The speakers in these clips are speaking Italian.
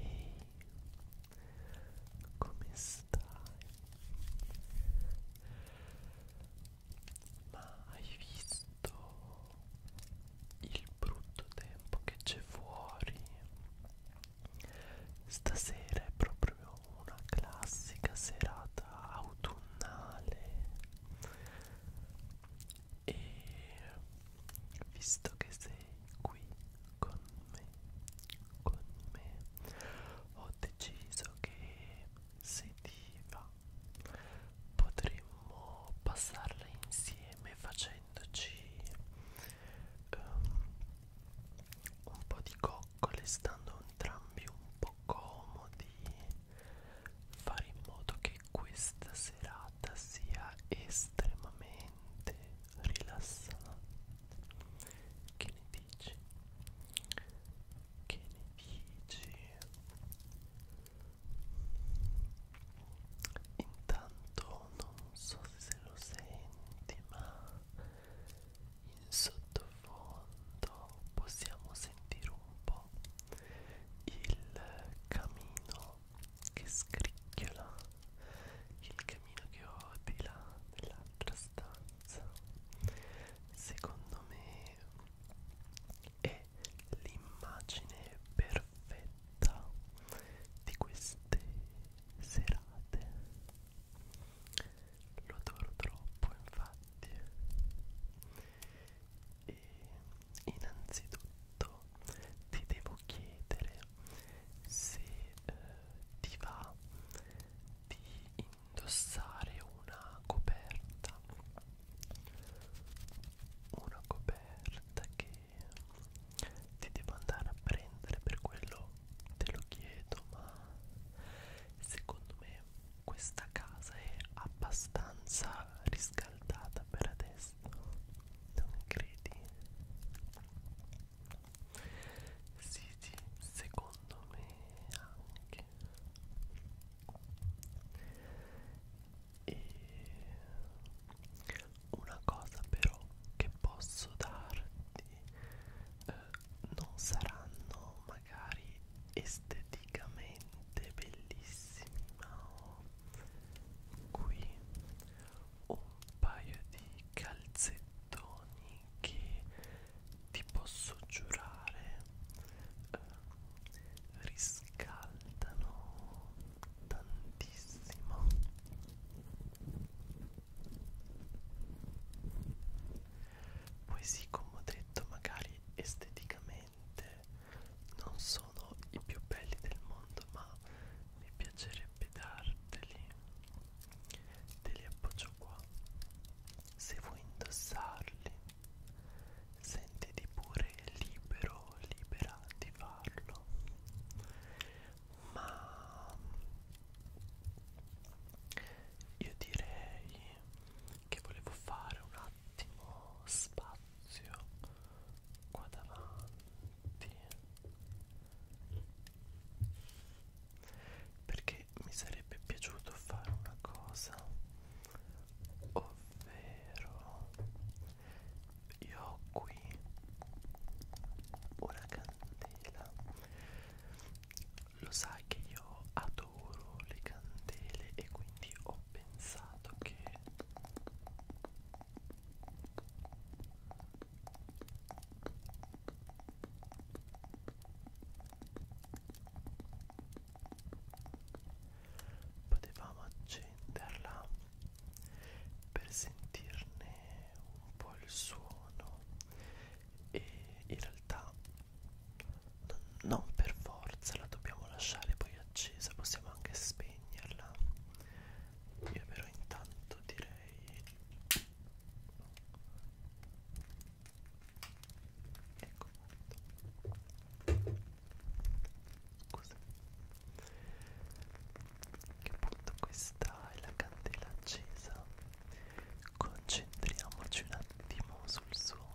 Ehi, come stai? Ma hai visto il brutto tempo che c'è fuori? Stasera è proprio una classica serata autunnale e visto che sei qui con me con me ho deciso che se ti va potremmo passarla insieme facendoci um, un po' di coccole stando entrambi un po' comodi fare in modo che questa serata sia estremamente rilassante che ne dici che ne dici intanto non so se lo senti ma in sottofondo possiamo sentire un po' po' il camino che scricchiola, il camino che ho di là nell'altra stanza. Secondo me è l'immagine perfetta di queste serate. Lo adoro troppo, infatti e innanzitutto ti devo chiedere se eh, ti va di indossare una coperta una coperta che ti devo andare a prendere per quello te lo chiedo ma secondo me questa casa è abbastanza riscaldata per adesso non credi? Sì, sì, secondo me anche. E una cosa però che posso darti eh, non saranno magari magari esteticamente bellissimi ma ho qui un paio di calzettoni che ti posso giurare eh, riscaldano tantissimo poi sì come ho detto magari esteticamente sicuramente non sono i più belli del mondo ma mi piacerebbe darteli te li appoggio qua se vuoi indossarli sentiti pure libero libera di farlo ma io direi che volevo fare una attimo spazio qua davanti perché mi sarebbe piaciuto fare una cosa ovvero io ho qui una candela lo sai che io adoro le candele e quindi ho pensato che potevamo accenderla per sentirne un po' il suono e in realtà non per forza la dobbiamo lasciare poi accesa, possiamo anche spegnerla. Io però intanto direi Ecco fatto. Scusa. Che appunto questa è la candela accesa. Concentriamoci un attimo sul suono.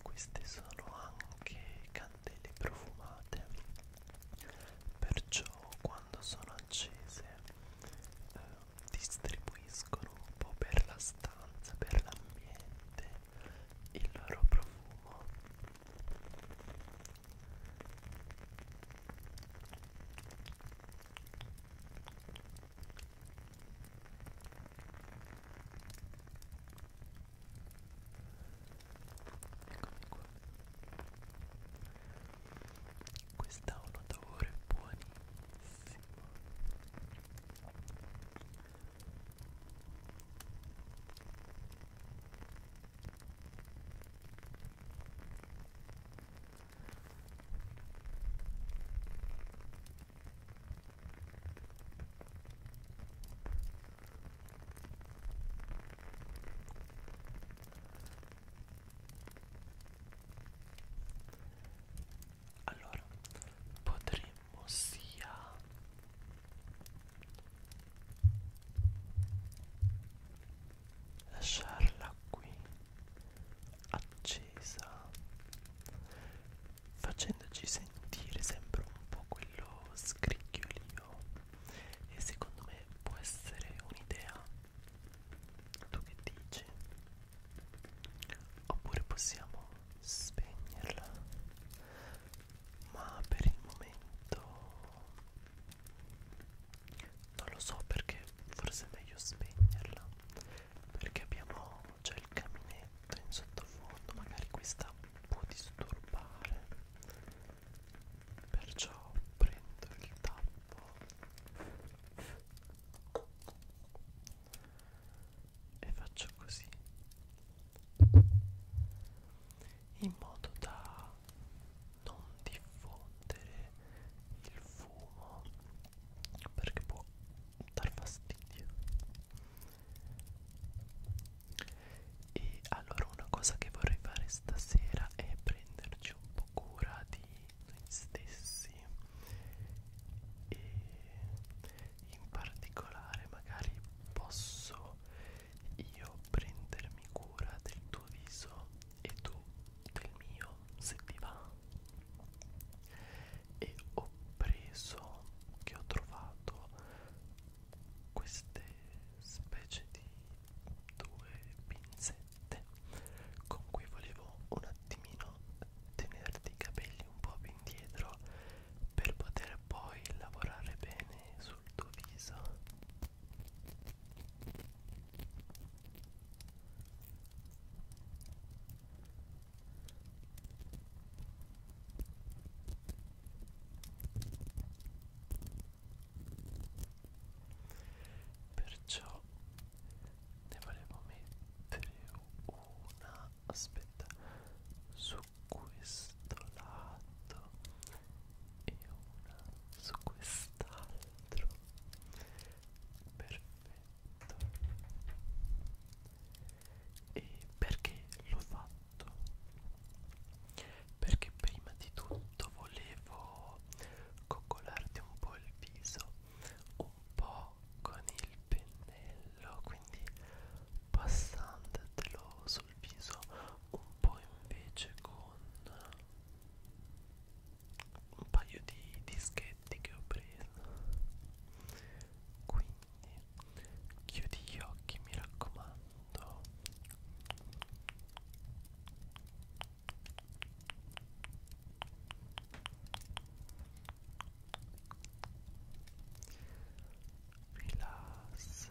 Queste sono anche candele profumate, perciò quando sono accese eh, distribuiscono un po' per la stanza, per l'ambiente il loro profumo Eccomi qua. Questa ha un odore buonissimo. Allora potremmo sia lasciarla qui accesa facendoci sentire sempre un po' quello scricchiolio e secondo me può essere un'idea tu che dici oppure possiamo spegnerla ma per il momento non lo so perché forse è meglio spegnerla perché abbiamo c'è il caminetto in sottofondo magari questa può disturbare perciò prendo il tappo e faccio così in modo da non diffondere il fumo perché può dar fastidio e allora una cosa che vorrei fare stasera è prenderci un po' cura di noi stessi e in particolare magari posso io prendermi cura del tuo viso e tu del mio se ti va e ho preso che ho trovato queste specie di due pinzette con cui volevo un attimino tenerti i capelli un po' più indietro per poter poi lavorare bene su sul tuo viso perciò ne volevo mettere una aspetta su questo lato e una su quest'altro perfetto e perché l'ho fatto perché prima di tutto volevo coccolarti un po' il viso un po' con il pennello quindi passandotelo su sul viso un po' invece con un paio di dischetti che ho preso quindi chiudi gli occhi mi raccomando rilassati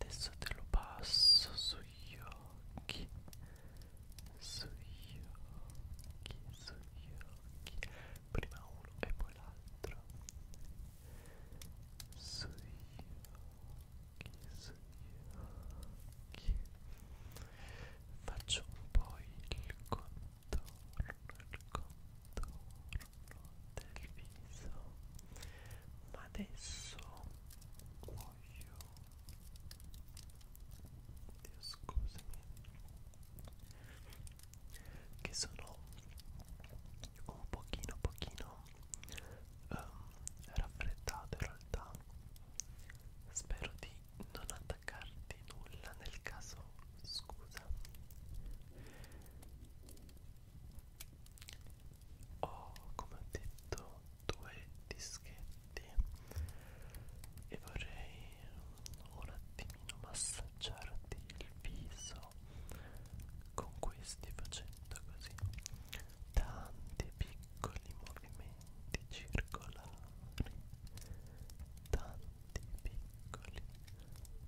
Adesso te lo passo sugli occhi, sugli occhi, sugli occhi, prima uno e poi l'altro, sugli occhi, sugli occhi. Faccio un po' il contorno contorno, il contorno del viso ma adesso voglio Dio scusami che sono un pochino pochino um, raffreddato in realtà spero di non attaccarti nulla nel caso scusa ho come ho detto due dischetti e vorrei un attimino massaggiarti il viso con questi facendo così tanti piccoli movimenti circolari tanti piccoli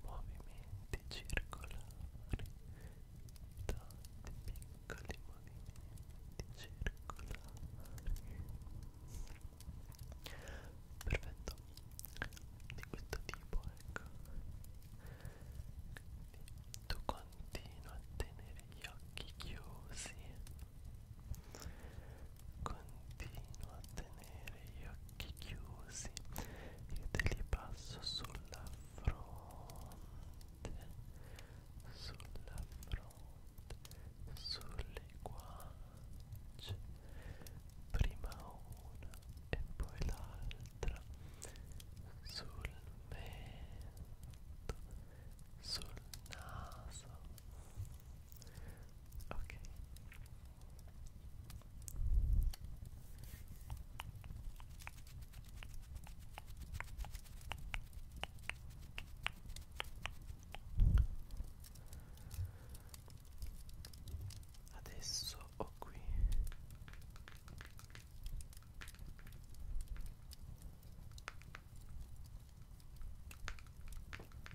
movimenti circolari tanti piccoli movimenti circolari perfetto di questo tipo ecco tu continua a tenere gli occhi chiusi Continuo a tenere gli occhi chiusi e te li passo sulla fronte, sulla fronte, sulle guance, prima una e poi l'altra, sul mento, sul naso. Ok, Adesso ho qui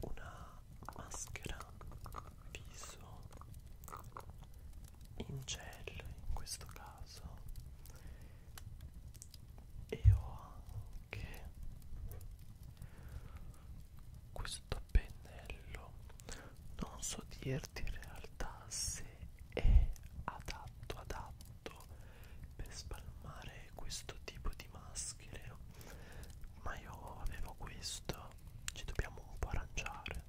una maschera viso in gel in questo caso e ho anche questo questo pennello non so dirti in realtà se è adatto adatto per spalmare questo tipo di maschere ma io avevo questo ci dobbiamo un po' arrangiare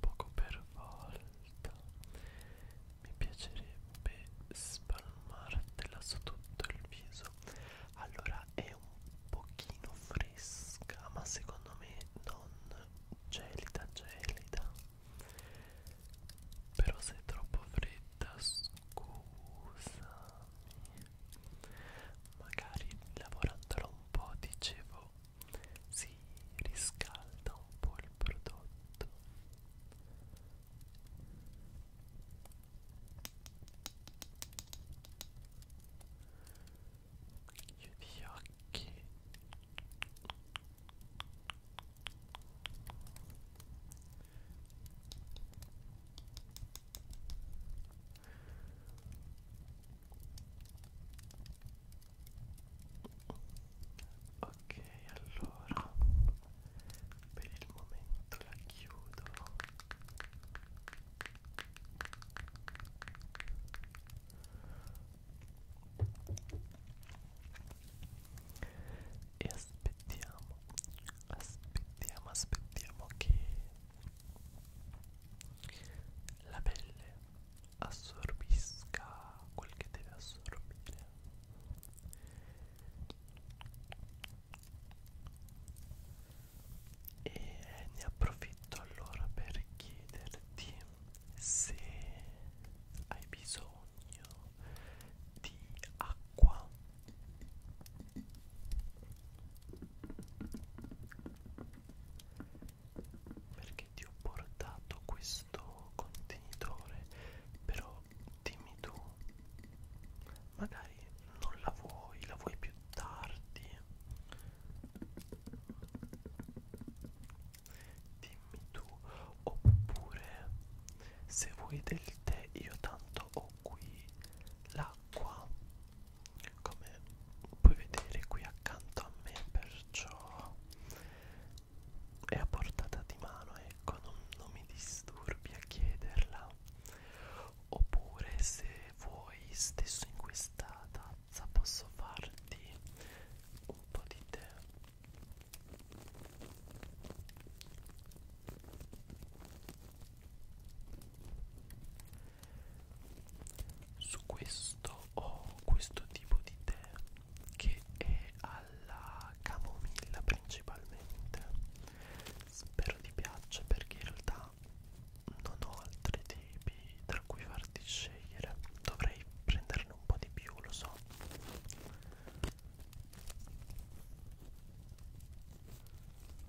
poco per volta mi piacerebbe spalmartela su tutto il viso allora è un pochino fresca ma secondo me non gelida gelida però se è troppo fredda scusami magari lavorandola un po' dicevo si riscalda un po' il prodotto chiudi gli occhi ok allora per il momento la chiudo e aspettiamo aspettiamo aspettiamo che la pelle assorbisca quel che deve assorbire e ne approfitto allora per chiederti se hai bisogno di acqua perché ti ho portato questo contenitore però dimmi tu magari non la vuoi la vuoi più tardi dimmi tu oppure se vuoi del tè io tanto ho qui l'acqua come puoi vedere qui accanto a me perciò è a portata di mano ecco non, non mi disturbi a chiederla oppure se vuoi stesso in questa tazza posso farti un po' di tè su questo ho questo tipo di tè che è alla camomilla principalmente spero ti piaccia perché in realtà non ho altri tipi tra cui farti scegliere dovrei prenderne un po' di più lo so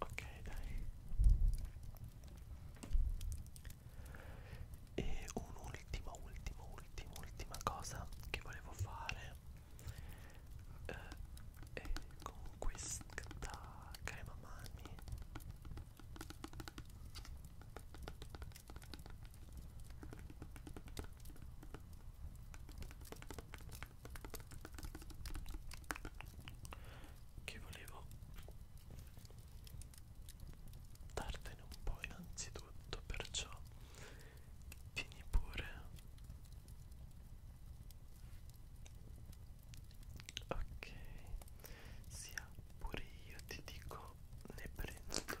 ok dai e un'ultima ultima ultima ultima cosa che volevo fare eh, è con questa crema mani che volevo dartene un po' innanzitutto perciò vieni pure ok sia pure io ti dico ne prendo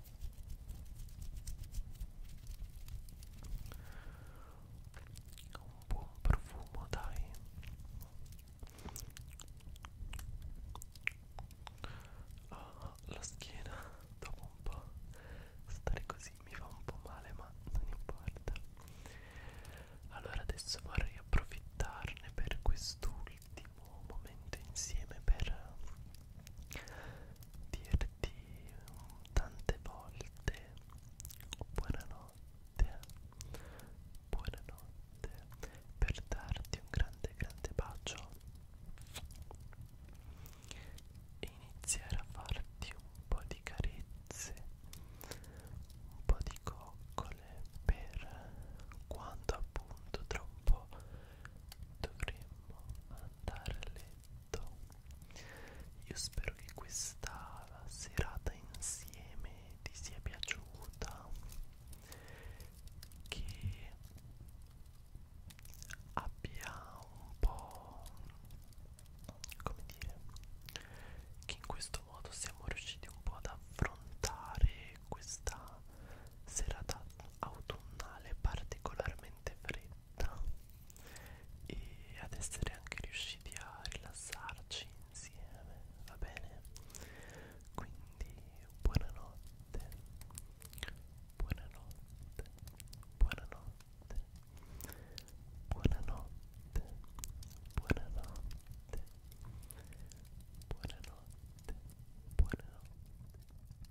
un buon profumo dai ah, la schiena dopo un po' stare così mi fa un po' male ma non importa allora adesso vorrei approfittarne per quest'ultimo momento insieme per dirti tante volte buonanotte buonanotte per darti un grande grande bacio e iniziare a farti un po' di carezze un po' di coccole per quando appunto tra un po' dovremmo andare a letto tutto io spero che questa serata insieme ti sia piaciuta che abbia un po' come dire che in questo modo siamo riusciti un po' ad affrontare questa serata autunnale particolarmente fredda lotta e ad essere anche riusciti a rilassarci insieme, va bene? Quindi buonanotte, buonanotte, buonanotte, buonanotte, buonanotte, buonanotte, buonanotte.